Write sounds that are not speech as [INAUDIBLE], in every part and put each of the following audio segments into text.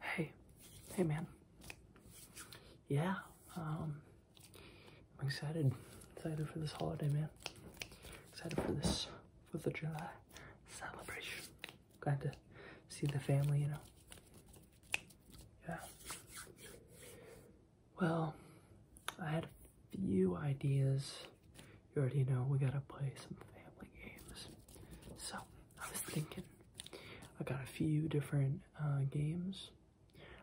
Hey, hey man. Yeah, um, I'm excited, excited for this holiday, man. Excited for this Fourth of July celebration. Glad to see the family, you know. Yeah. Well, I had a few ideas. You already know we gotta play some family games. So I was thinking I got a few different uh, games.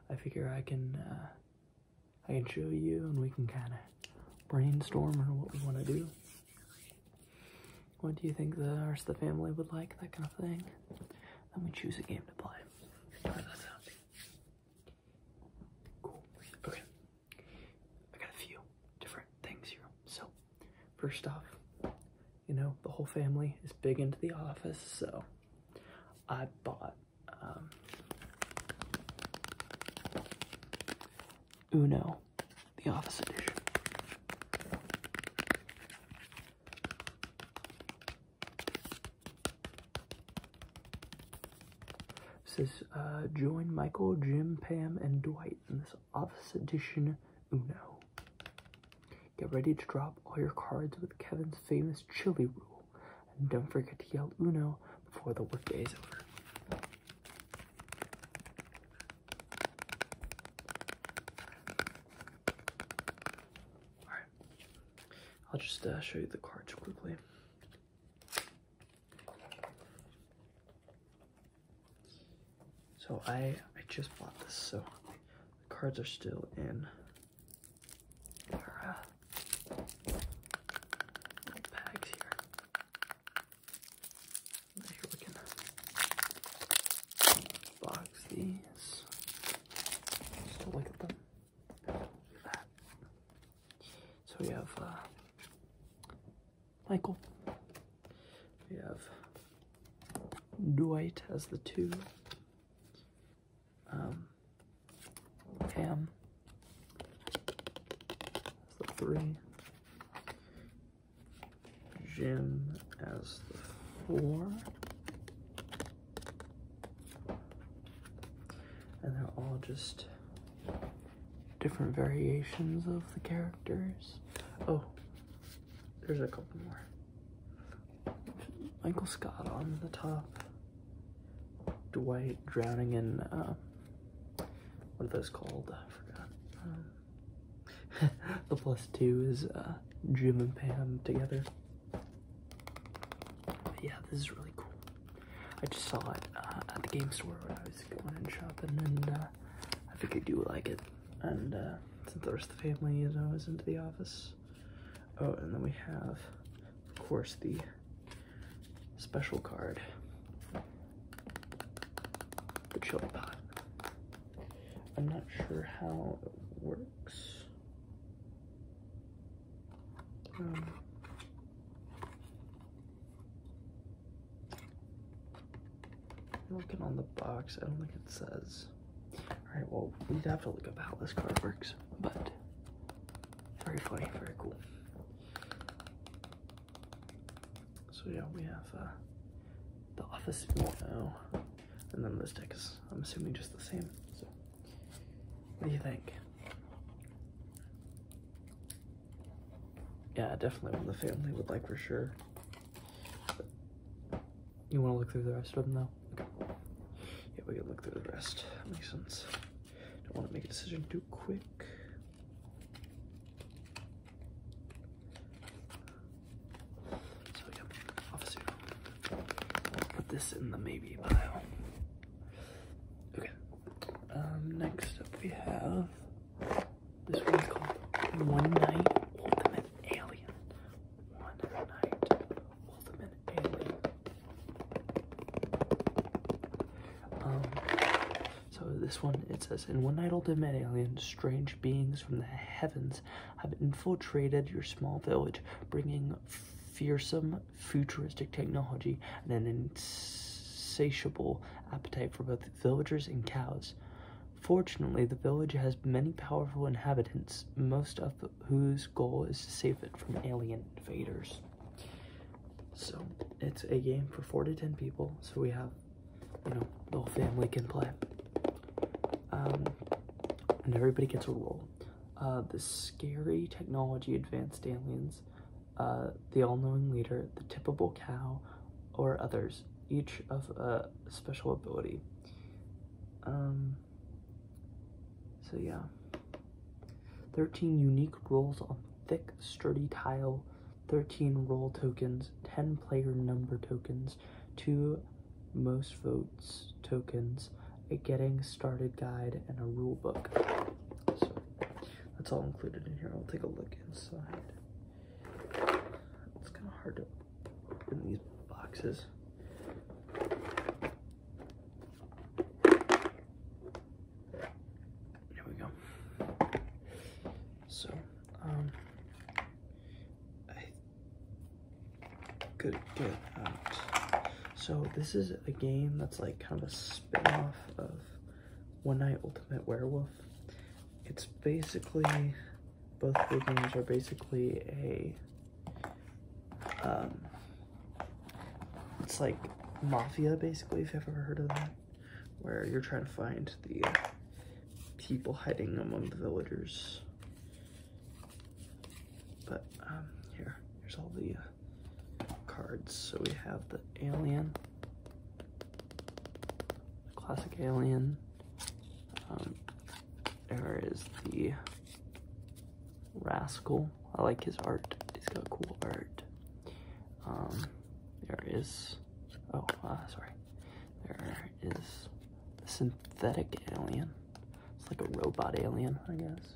I figure I can uh, I can show you, and we can kind of brainstorm on what we want to do. What do you think the rest of the family would like? That kind of thing. Then we choose a game to play. Cool. Okay. I got a few different things here. So First off, you know, the whole family is big into The Office, so I bought um, Uno, The Office Edition. This is uh, join Michael, Jim, Pam, and Dwight in this Office Edition Uno. Get ready to drop all your cards with Kevin's famous chili rule, and don't forget to yell Uno before the workday is over. Alright, I'll just uh, show you the cards quickly. So I I just bought this, so the cards are still in their uh, little bags here. Here we can box these. Just to look at them. Look at that. So we have uh, Michael. We have Dwight as the two. Um, Cam as the three. Jim as the four. And they're all just different variations of the characters. Oh, there's a couple more. Michael Scott on the top. Dwight drowning in, uh, what are those called? I forgot. Um, [LAUGHS] the plus two is uh, Jim and Pam together. yeah, this is really cool. I just saw it uh, at the game store when I was going shopping, and I figured you would like it and uh, since the rest of the family, you know, into the office. Oh, and then we have, of course, the special card, the chili pot. I'm not sure how it works. Um, looking on the box, I don't think it says. Alright, well, we'd have to look up how this card works, but very funny, very cool. So, yeah, we have uh, the Office 1.0, and then this deck is, I'm assuming, just the same. So, what do you think? Yeah, definitely one the family would like for sure. you want to look through the rest of them though? Yeah, we can look through the rest. That makes sense. Don't want to make a decision too quick. So yep, obviously put this in the maybe pile. Okay. Um, next up we have this one's called One Night Ultimate Alien. One Night Ultimate Alien. Um, so this one, it says, In One Night Ultimate Alien, strange beings from the heavens have infiltrated your small village, bringing fearsome futuristic technology and an insatiable appetite for both villagers and cows. Fortunately, the village has many powerful inhabitants, most of whose goal is to save it from alien invaders. So, it's a game for 4 to 10 people, so we have, you know, the whole family can play. Um, and everybody gets a role. Uh, the scary technology advanced aliens, uh, the all-knowing leader, the tippable cow, or others, each of a special ability. Um, so yeah. 13 unique rolls on thick, sturdy tile, 13 roll tokens, 10 player number tokens, 2 most votes tokens, a getting started guide, and a rule book. So that's all included in here. I'll take a look inside. It's kind of hard to open these boxes. Here we go. So, um, I could get out. So this is a game that's like kind of a spin-off of One Night Ultimate Werewolf it's basically, both the games are basically a, um, it's like Mafia, basically, if you've ever heard of that, where you're trying to find the people hiding among the villagers. But, um, here, here's all the uh, cards. So we have the alien, classic alien. Um, there is the rascal. I like his art. He's got cool art. Um, there is, oh, uh, sorry. There is a synthetic alien. It's like a robot alien, I guess.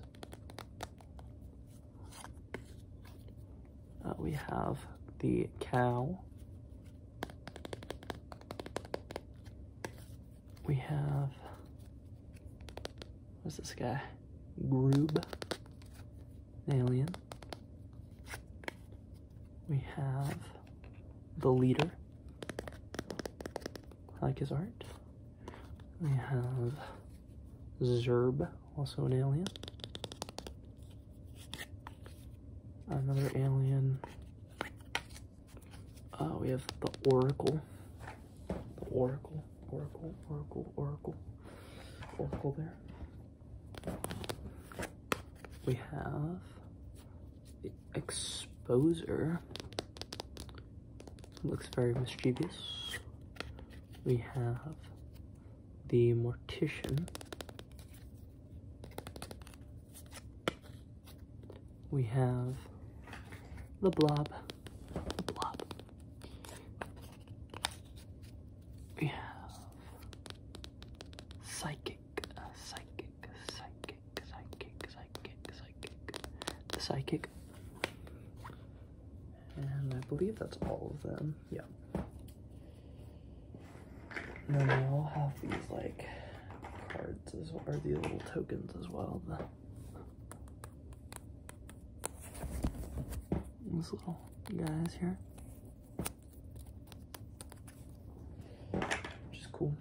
Uh, we have the cow. We have, what's this guy? Groob, alien. We have the leader. I like his art. We have Zerb, also an alien. Another alien. Uh, we have the Oracle. The Oracle, Oracle, Oracle, Oracle. Oracle there. We have the Exposer. Looks very mischievous. We have the mortician. We have the blob. The blob. We have psychic, psychic, psychic, psychic, psychic, psychic, the psychic. And I believe that's all of them. Yeah. then they all have these like cards as well, or these little tokens as well. The, these little guys here. Which is cool.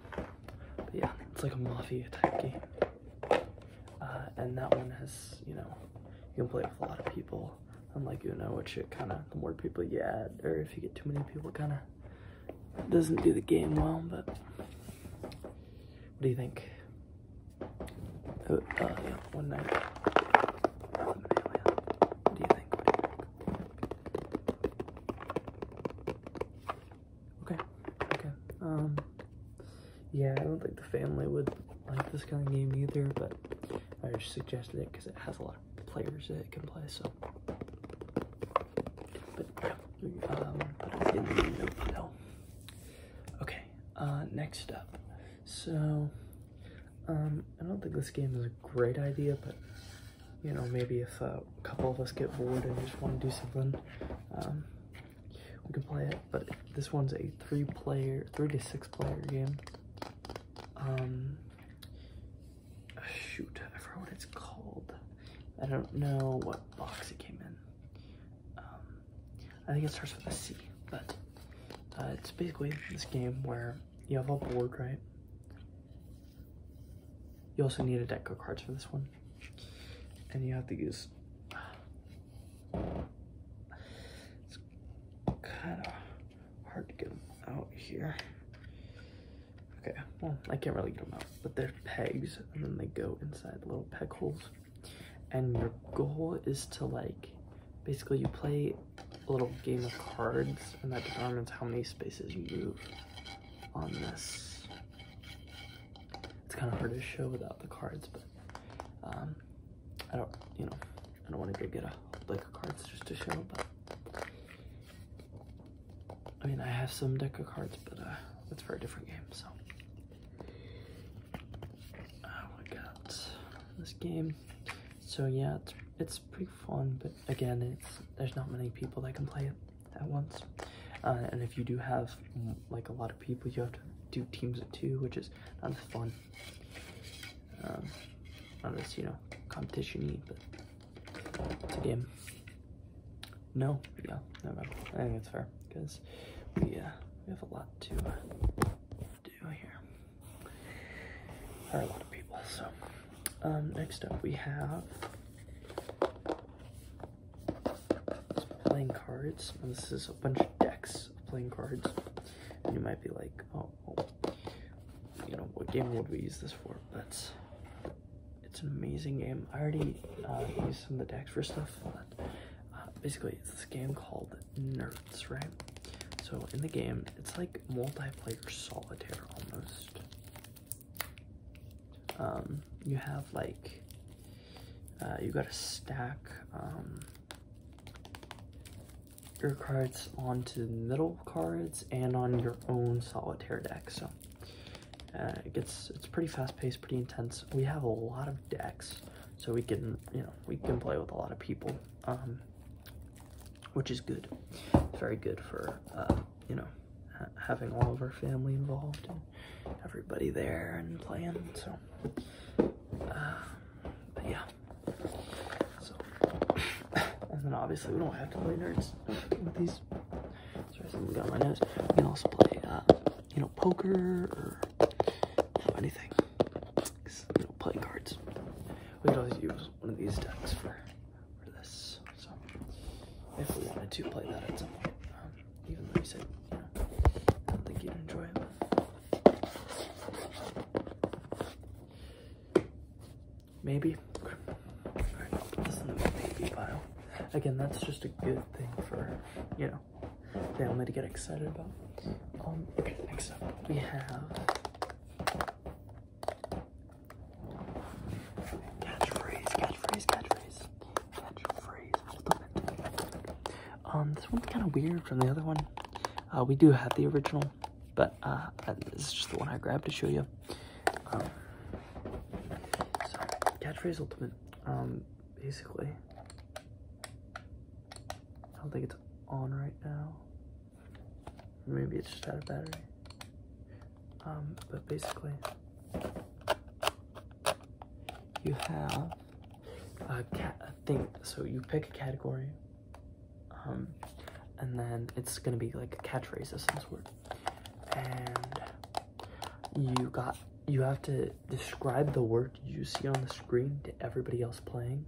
But yeah, it's like a mafia type game. Uh, and that one has, you know, you can play with a lot of people I'm like you know, which it kind of, the more people you add, or if you get too many people, kind of doesn't do the game well, but what do you think? Uh, uh, one night. do you think? Okay, okay. Um, yeah, I don't think the family would like this kind of game either, but I just suggested it because it has a lot of players that can play, so. But um, but oh, Okay, uh, next up. So, um, I don't think this game is a great idea, but you know, maybe if a couple of us get bored and just want to do something, um, we can play it. But this one's a three-player, three to six-player game um, shoot, I forgot what it's called. I don't know what box it came in. Um, I think it starts with a C, but uh, it's basically this game where you have a board, right? You also need a deck of cards for this one. And you have to use... [SIGHS] kind of hard to get them out here. Okay, well, I can't really get them out, but they're pegs, and then they go inside little peg holes. And your goal is to, like, basically you play a little game of cards, and that determines how many spaces you move on this. It's kind of hard to show without the cards, but um, I don't, you know, I don't want to go get a deck of cards just to show, but I mean, I have some deck of cards, but uh, that's for a different game. So uh, oh, we got this game. So yeah, it's, it's pretty fun, but again, it's there's not many people that can play it at once. Uh, and if you do have like a lot of people, you have to do teams of two, which is not fun. Um, not as, you know, competition but game. No? Yeah, never mind. I think it's fair, because we, uh, we have a lot to do here. There are a lot of people, so. Um, next up we have playing cards. This is a bunch of decks of playing cards you might be like, oh, you know, what game would we use this for? That's, it's an amazing game. I already uh, use some of the decks for stuff, but uh, basically it's this game called Nerds, right? So in the game, it's like multiplayer solitaire almost. Um, you have like, uh, you got a stack, um, your cards onto middle cards and on your own solitaire deck. So uh, it gets it's pretty fast paced, pretty intense. We have a lot of decks, so we can you know we can play with a lot of people, um, which is good. very good for uh, you know having all of our family involved and everybody there and playing. So uh, yeah, so, and then obviously we don't have to play nerds with these. So we got my nose. We can also play, uh, you know, poker or anything. You know, play cards. We could always use one of these decks for, for this. So, if we wanted to play that at some point, um, even though you said, you know, I don't think you'd enjoy it. Maybe. Again, that's just a good thing for, you know, family to get excited about. Um, okay, next up we have catchphrase, catchphrase, catchphrase, catchphrase. Um, this one's kind of weird from the other one. Uh, we do have the original, but uh, this is just the one I grabbed to show you. Um, so, catchphrase ultimate. Um, basically, I don't think it's on right now. Maybe it's just out of battery. Um, but basically, you have I think So you pick a category, um, and then it's gonna be like a catchphrase of some sort, and you got you have to describe the word you see on the screen to everybody else playing,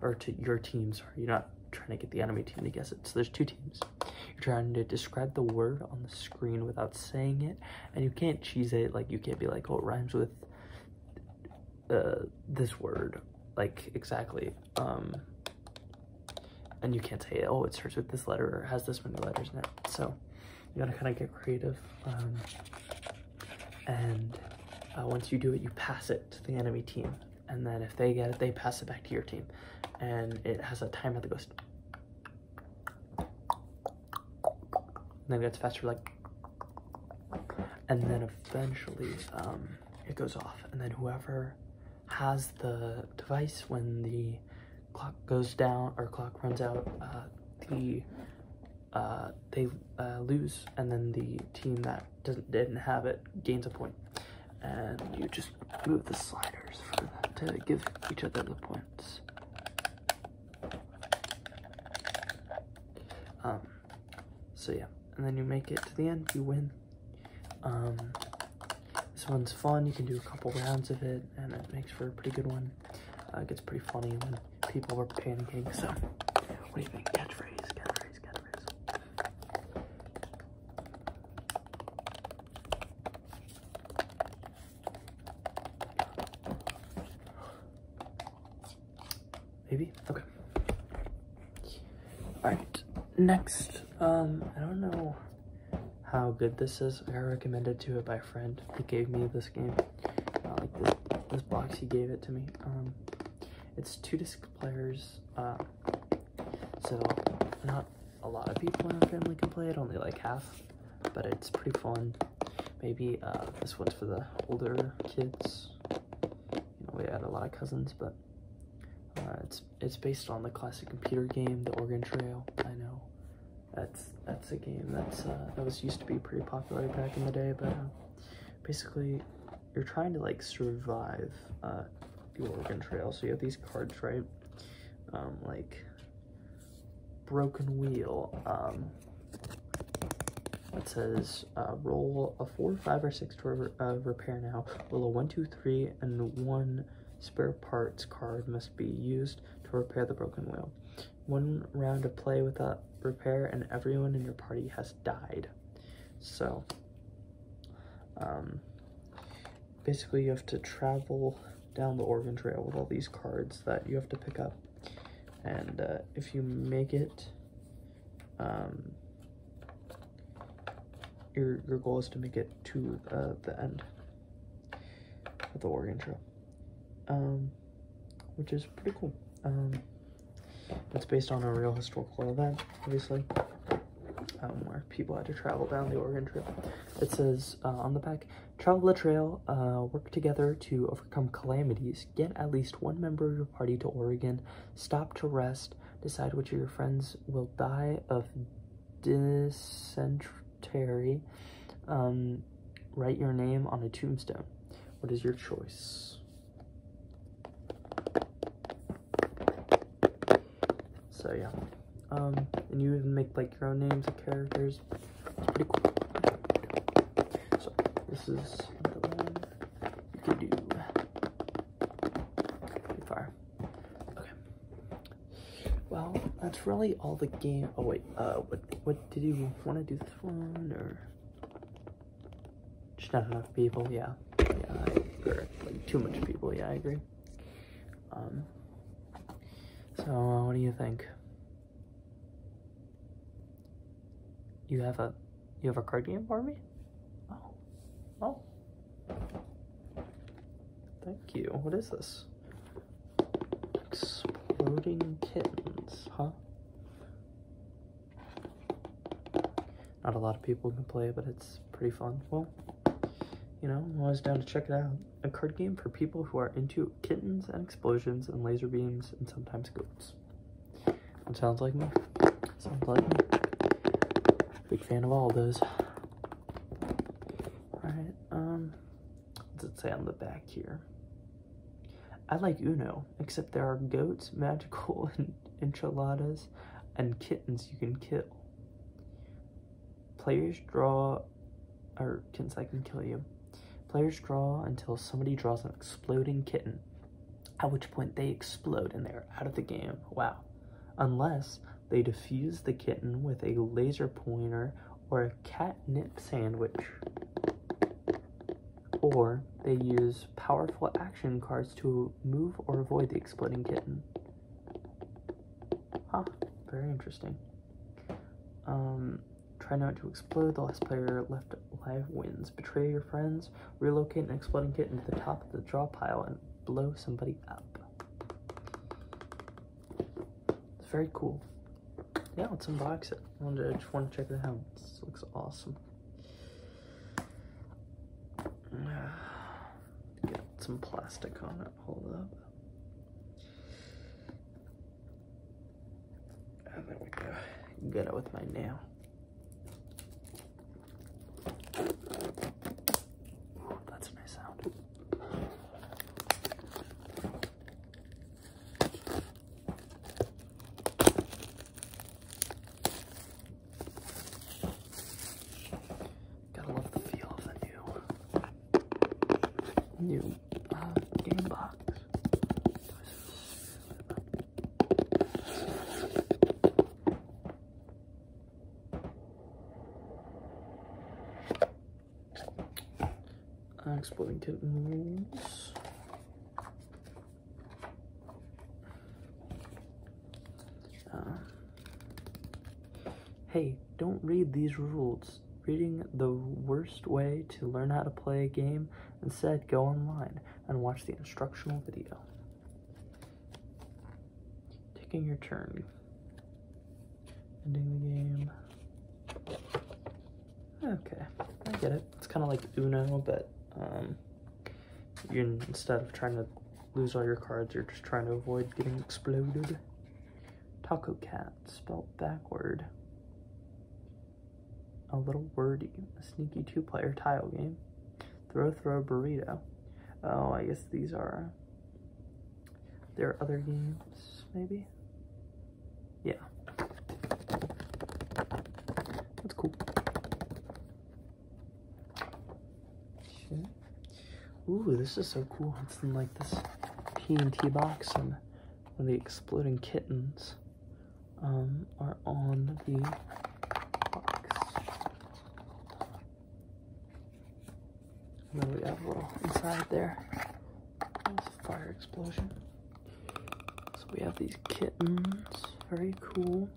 or to your team. Sorry, you're not trying to get the enemy team to guess it. So there's two teams. You're trying to describe the word on the screen without saying it, and you can't cheese it. Like you can't be like, oh, it rhymes with uh, this word, like exactly. Um, and you can't say, oh, it starts with this letter or has this many letters in it. So you gotta kind of get creative. Um, and uh, once you do it, you pass it to the enemy team. And then if they get it, they pass it back to your team. And it has a timer that goes and then it gets faster like and then eventually um, it goes off and then whoever has the device when the clock goes down or clock runs out uh, the uh, they uh, lose and then the team that doesn't didn't have it gains a point and you just move the sliders for them to give each other the points um, so yeah, and then you make it to the end, you win. Um, this one's fun, you can do a couple rounds of it, and it makes for a pretty good one. Uh, it gets pretty funny when people are panicking, so what do you think? Catchphrase, catchphrase, catchphrase. Maybe? Okay. Alright, next. Um, I don't know how good this is. I recommended to it by a friend. He gave me this game. like this, this, box, he gave it to me. Um, it's two disc players. Uh, so not a lot of people in our family can play it. Only like half but it's pretty fun. Maybe uh, this one's for the older kids. You know, we had a lot of cousins, but uh, it's it's based on the classic computer game, The Oregon Trail. I know that's that's a game that's uh, that was used to be pretty popular back in the day, but uh, basically you're trying to like survive uh, the Oregon Trail. So you have these cards, right? Um, like broken wheel um, it says uh, roll a four, five, or six to uh, repair now. Roll a one, two, three, and one spare parts card must be used to repair the broken wheel. One round of play without repair, and everyone in your party has died. So, um, basically, you have to travel down the Oregon Trail with all these cards that you have to pick up and uh, if you make it, um, your, your goal is to make it to uh, the end of the Oregon Trail, um, which is pretty cool. it's um, based on a real historical event, obviously, um, where people had to travel down the Oregon Trail. It says uh, on the back, Travel the trail, uh, work together to overcome calamities, get at least one member of your party to Oregon, stop to rest, decide which of your friends will die of dysentery, um, write your name on a tombstone. What is your choice? So yeah, um, and you even make like your own names and characters pretty cool. So this is another you can Pretty far. Okay. Well, that's really all the game. Oh wait, uh, what what did you want to do this one or? Just not enough people. Yeah, yeah, or like too much people. Yeah, I agree. Um. So, uh, what do you think? You have a you have a card game for me? Oh. Oh. Thank you. What is this? Exploding kittens, huh? Not a lot of people can play, but it's pretty fun. Well, you know, I was down to check it out a card game for people who are into kittens and explosions and laser beams and sometimes goats. sounds like me. Sounds like me. Big fan of all those. Alright, um, what does it say on the back here? I like Uno, except there are goats, [LAUGHS] magical enchiladas, and kittens you can kill. Players draw or kittens that can kill you. Players draw until somebody draws an exploding kitten, at which point they explode and they're out of the game. Wow. Unless they defuse the kitten with a laser pointer or a catnip sandwich. Or they use powerful action cards to move or avoid the exploding kitten. Huh, very interesting. Um, Try not to explode. The last player left alive wins. Betray your friends. Relocate an exploding kit into the top of the draw pile and blow somebody up. It's very cool. Yeah, let's unbox it. I, just want to check it out. This looks awesome. [SIGHS] Get some plastic on it. Hold up. And oh, there we go. Get it with my nail. That's a sound. Gotta love the feel of the new new uh, game box. Uh, exploding kittens. Uh, hey, don't read these rules reading the worst way to learn how to play a game instead go online and watch the instructional video taking your turn ending the game okay i get it it's kind of like uno but um you instead of trying to lose all your cards you're just trying to avoid getting exploded Taco Cat, spelled backward. A Little Wordy, a sneaky two-player tile game. Throw Throw Burrito. Oh, I guess these are... There are other games, maybe? Yeah. That's cool. Ooh, this is so cool. It's in like this TNT box and when the exploding kittens um, are on the box. And then we have a little inside there. It's a fire explosion. So we have these kittens. Very cool.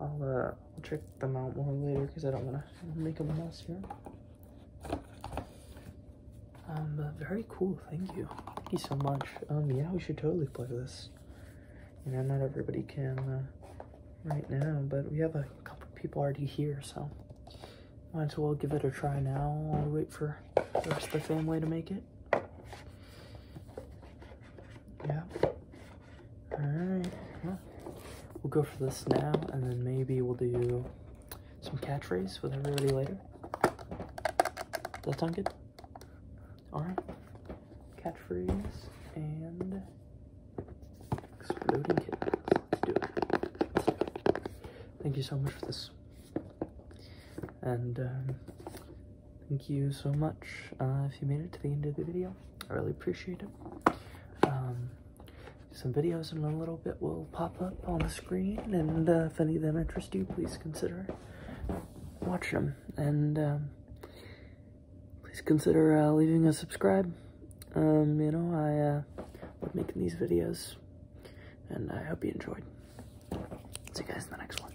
I'll, uh, i them out more later because I don't want to make a mess here. Um, uh, very cool. Thank you. Thank you so much. Um, yeah, we should totally play this. You know, not everybody can uh, right now, but we have a couple people already here, so might as well give it a try now while we wait for the rest of family to make it. Yeah. Alright. we'll go for this now, and then maybe we'll do some catchphrase with everybody later. Does that sound good? Alright. Catchphrase and exploding kittens. Let's do, it. Thank you so much for this. And um, thank you so much uh, if you made it to the end of the video. I really appreciate it. Um, some videos in a little bit will pop up on the screen, and uh, if any of them interest you, please consider watching them. And um, please consider uh, leaving a subscribe. Um, you know, I uh, love making these videos, and I hope you enjoyed. See you guys in the next one.